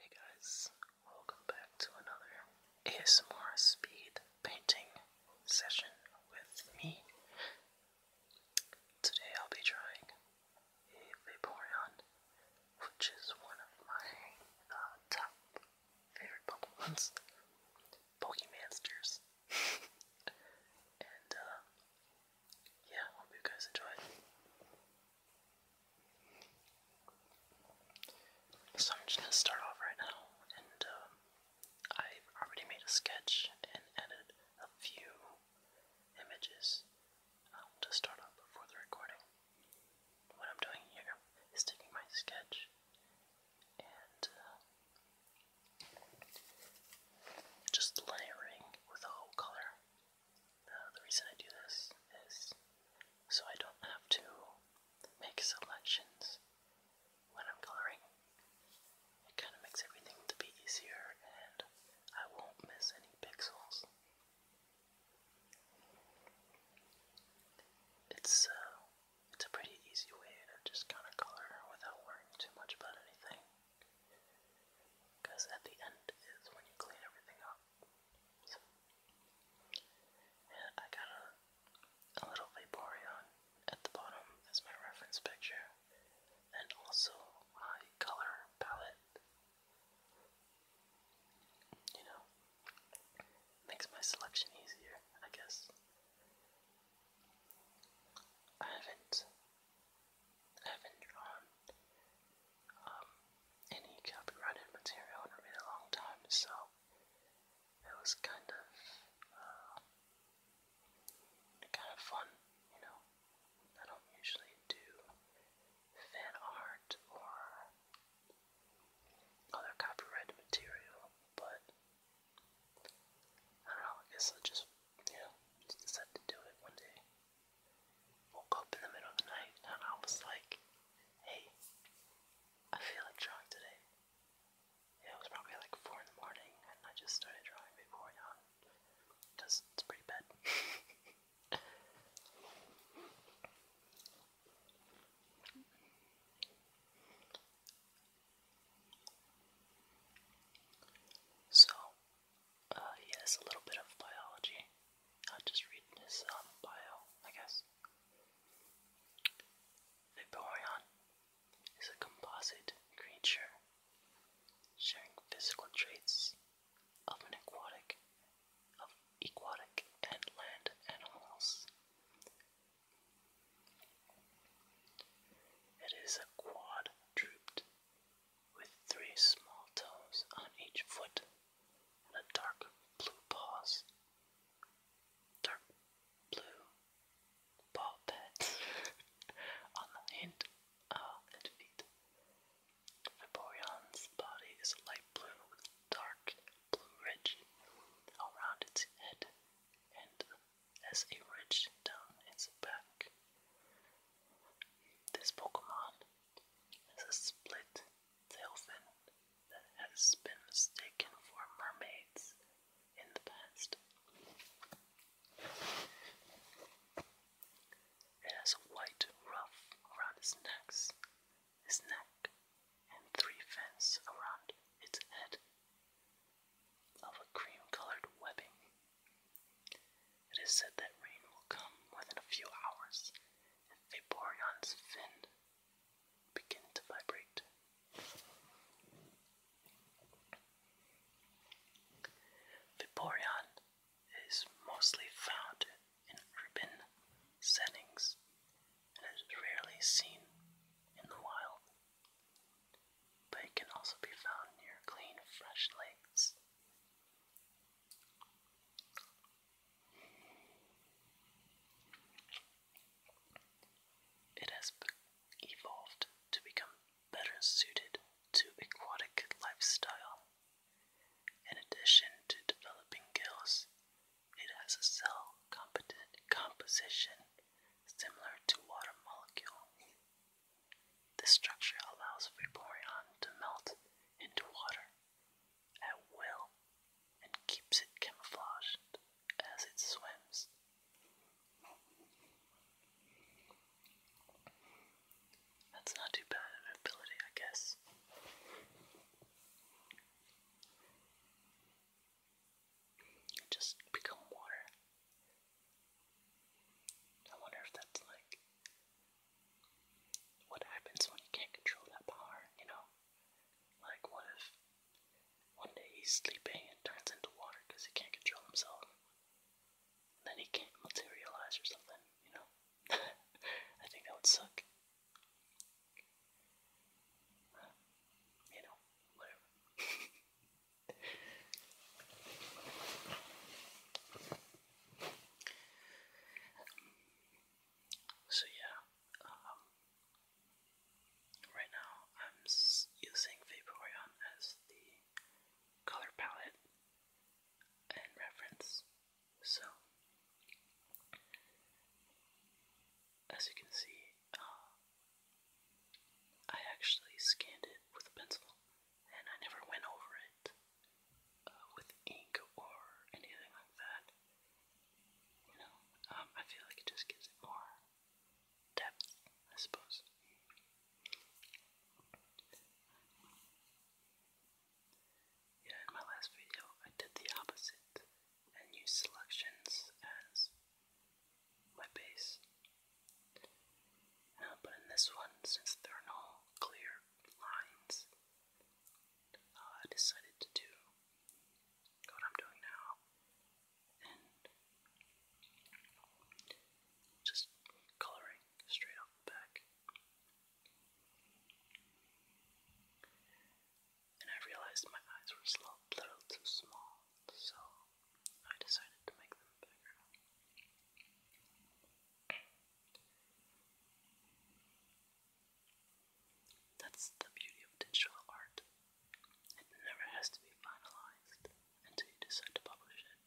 Hey guys, welcome back to another ASMR speed painting session with me. Today I'll be trying a Vaporeon, which is one of my uh, top favorite Pokemons, Pokemonsters. and uh, yeah, hope you guys enjoy so I'm just gonna start off right now, and um, I've already made a sketch and edited a few images um, to start off before the recording. What I'm doing here is taking my sketch and uh, just layering with a whole color uh, the reason I do this is so I don't have to make selections when I'm coloring. It kind of makes everything to be easier and I won't miss any pixels. It's uh, it's a pretty easy way to just kind of color without worrying too much about anything. Because at the end is when you clean everything up and I got a, a little Vaporeon at the bottom as my reference picture, and also my color palette. You know, makes my selection easier, I guess. I haven't, I haven't drawn um, any copyrighted material in a really long time, so it was kind of uh, kind of fun, you know. I don't usually do fan art or other copyrighted material, but I don't know. I guess I just you know just to do it one day woke up in the middle of the night and I was like, hey, I feel like drawing today. It was probably like 4 in the morning and I just started drawing before dawn because it's pretty bad. so, uh, he has a little bit of biology. I'll just read his um, bio, I guess. Vaporeon is a composite creature sharing physical traits of an aquatic of aquatic and land animals. It is a quadruped with three small toes on each foot and a dark blue paws. Dark blue paw pads on the hind uh, and feet. Vaporeon's body is light blue with dark blue ridge around its head and as a ridge down its back. This Pokemon is a split tailfin that has been mistaken for mermaids in the past. It has a white ruff around its necks, its neck, and three fins around its head of a cream colored webbing. It is said that rain will come within a few hours, and Vaporeon's fin begin to vibrate. Vaporeon is mostly found in urban settings and is rarely seen in the wild, but it can also be found near clean, fresh lakes. It has evolved to become better suited to aquatic lifestyle. In addition to developing gills, it has a cell composition similar to water molecules. This structure allows Vaporeon to melt into water at will and keeps it camouflaged as it swims. That's not too bad an ability, I guess. just become water. I wonder if that's like what happens when you can't control that power, you know? Like, what if one day he's sleeping and turns into water because he can't control himself? then he can't materialize or something, you know? I think that would suck. you know, whatever. So yeah, um, right now I'm using Vaporeon as the color palette and reference. So as you can see, uh, I actually scanned it with a pencil and I never went over it uh, with ink or anything like that. You know, um, I feel like it just gives it more depth, I suppose. Yeah, in my last video, I did the opposite and used selections as my base. Uh, but in this one, since there are no clear lines, uh, I decided to do what I'm doing now and just coloring straight off the back. And I realized my eyes were a little too small, so I decided to make them bigger. That's the beauty of digital art. It never has to be finalized until you decide to publish it.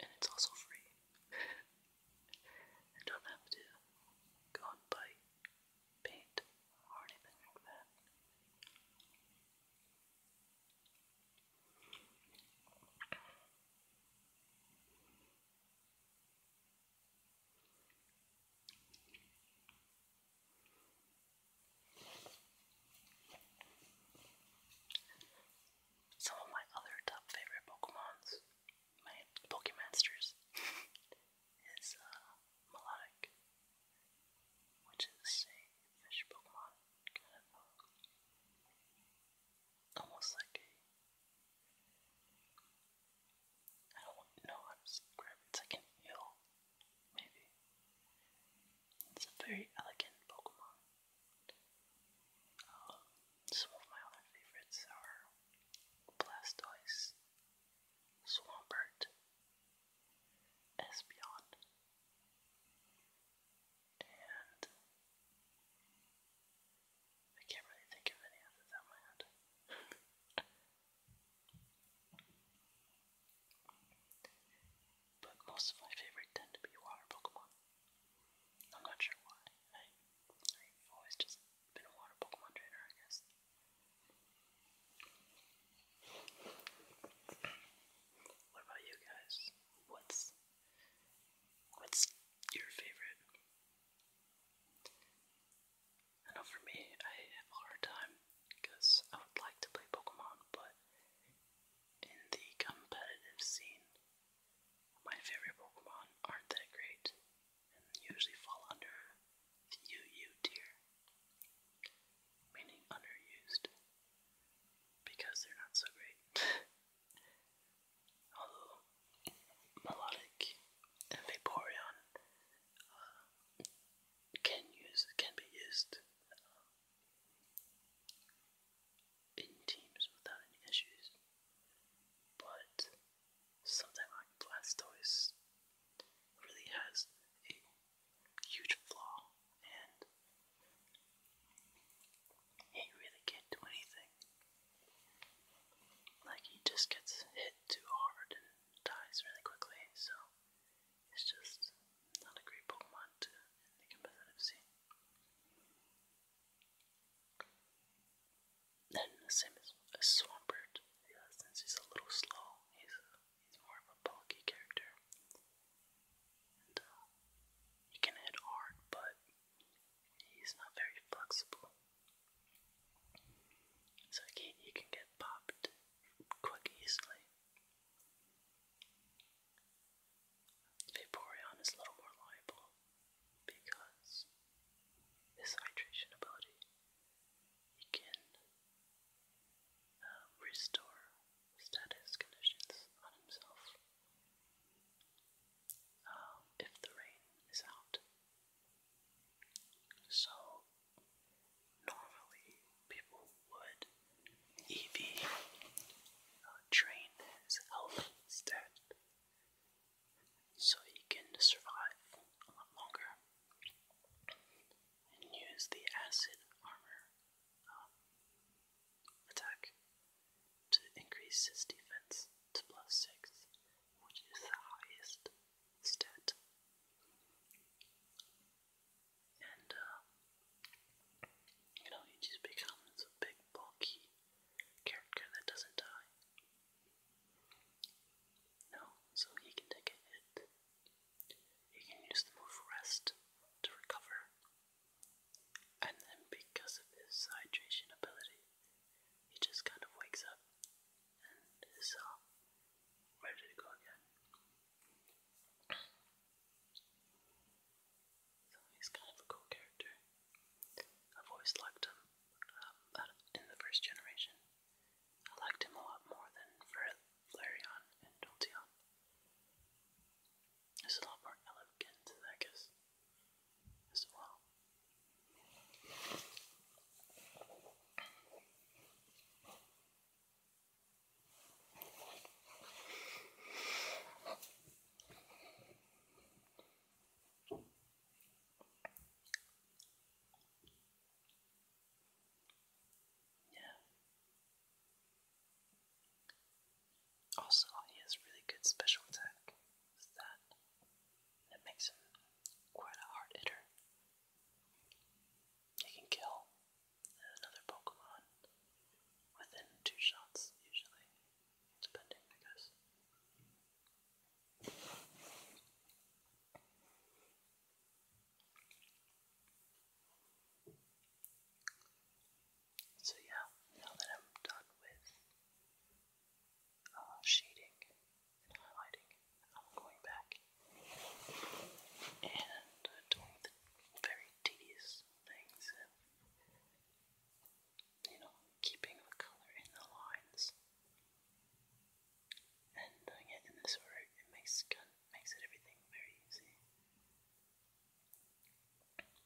And it's also free. I don't have to go and buy paint or anything like that. Some of my other top favorite Pokemons my Pokemasters is uh, Melodic, which is a fish Pokemon, kind of almost like a. I don't know how to describe it. It's like maybe. It's a very elegant Pokemon. Um, some of my other favorites are Blastoise, Swampert, Espeon, and I can't really think of any others on my head. but most of my favorite tend to be water Pokemon. I'm not sure why. I, i always just been a water Pokemon trainer, I guess. What about you guys? What's what's your favorite? I know for me, I have a hard time because I would like to play Pokemon, but in the competitive scene, my favorite Pokemon aren't that great and usually fall under the UU tier, meaning underused, because they're not so great. Although melodic and Vaporeon uh, can use can be used uh, in teams without any issues, but something like Blastoise really has a huge flaw and he really can't do anything. Like he just gets hit too hard and dies really quickly, so it's just not a great Pokemon to in the competitive scene. Then the same as, as Swampert, yeah, since he's a little slow, he's he's more of a bulky character. Uh, he can hit hard, but he's not very flexible. So he, he can get popped quite easily. Vaporeon is a little more liable because this hydration ability it can um, restore status conditions on himself. Um, if the rain is out. So, normally people would EV uh, train instead so he can survive a lot longer and use the acid armor um, attack to increase his defense to plus 6, which is the highest stat. And, uh, you know, he just becomes a big, bulky character that doesn't die. No, so he can take a hit. He can use the move rest to recover. And then because of his hydration ability, he just kind of wakes up and is uh, ready to go again. So he's kind of a cool character. I've always liked him um, in the first generation. I liked him a lot more than Flareon and Dolteon. It's a lot more elegant, I guess, as well. Yeah. Also, he has really good special attack. that that makes him quite a hard hitter. He can kill another Pokemon within two shots, usually, depending, I guess. So, yeah, now that I'm done with uh, shading and highlighting, I'm going back and uh, doing the very tedious things you know, keeping the color in the lines and doing it in this order, it makes kind makes it everything very easy.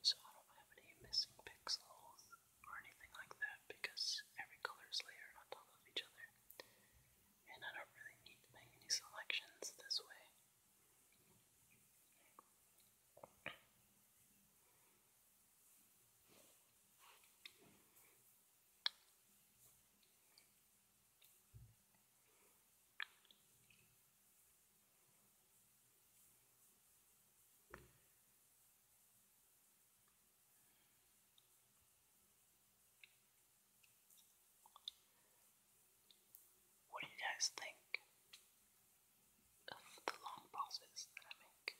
So I don't have any missing pixels or anything like that because every color is layered on top of each other, and I don't really need to make any selections this way. What do you guys think? of the long pauses that I make?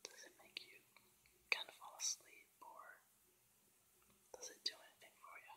Does it make you kind of fall asleep or does it do anything for you?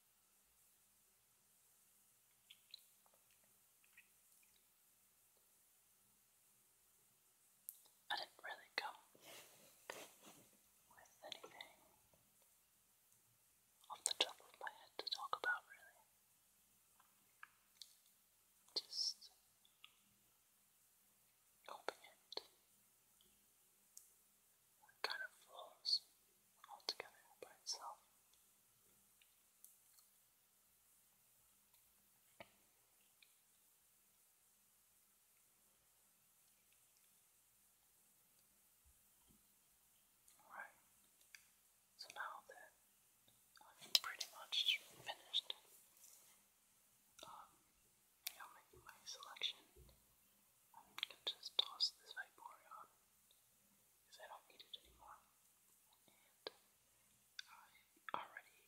I didn't really come with anything off the top of my head to talk about, really. Just hoping it kind of flows altogether by itself. Alright, so now that I'm pretty much finished um, you know, making my selection, I'm going to just toss this Vaporeon because I don't need it anymore. And I already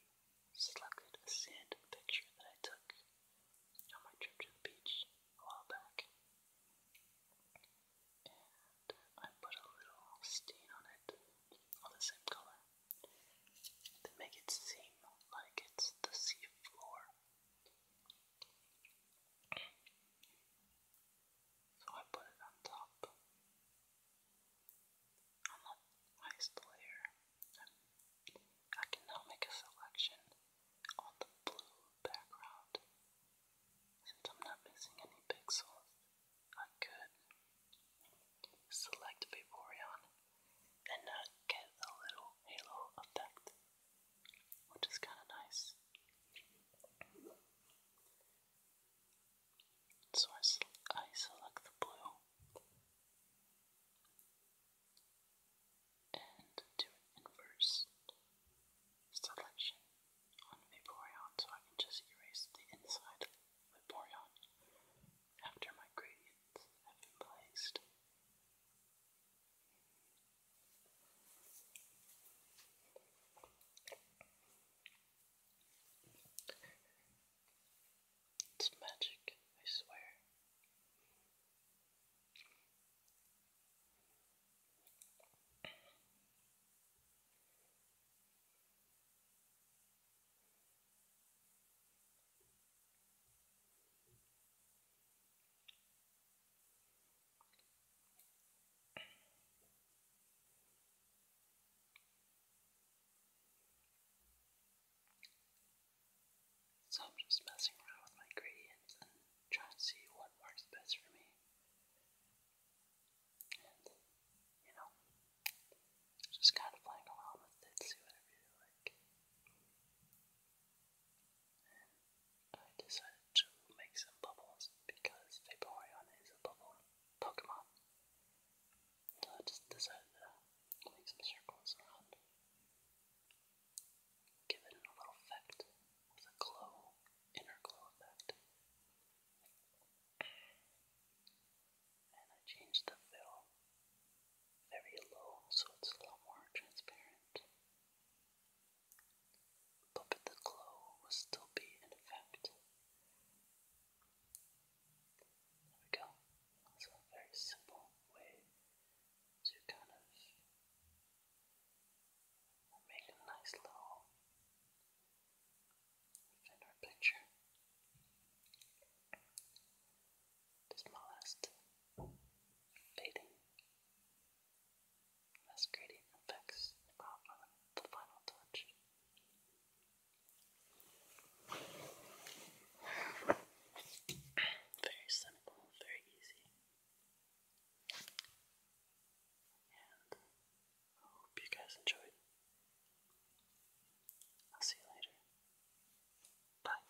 selected a sand picture that I took on my trip to the beach a while back. And I put a little stain on it, all the same color, to make it seem like it's the sea floor. So I put it on top. On the highest layer. And I can now make a selection on the blue background. Since I'm not missing any pixels, I could select Vaporeon and not get a little halo effect which is kind of nice. So I, I select the blue and do an inverse selection on Vaporeon so I can just erase the inside of Vaporeon after my gradients have been placed. It's magic, I swear. So I'm just messing around with my gradients and trying to see what works best for me. And, you know, just kind of playing around with it, see what I like. I decided to make some bubbles because Vaporeon is a bubble Pokemon. I just decided to make some circles around. Give it a little effect with a glow, inner glow effect. And I changed the fill very low so it's a lot more transparent but the glow will still be in effect. There we go. That's a very simple way to kind of make a nice little thinner picture. This is fading this gradient effects the the final touch. Very simple, very easy. And I hope you guys enjoyed. I'll see you later. Bye.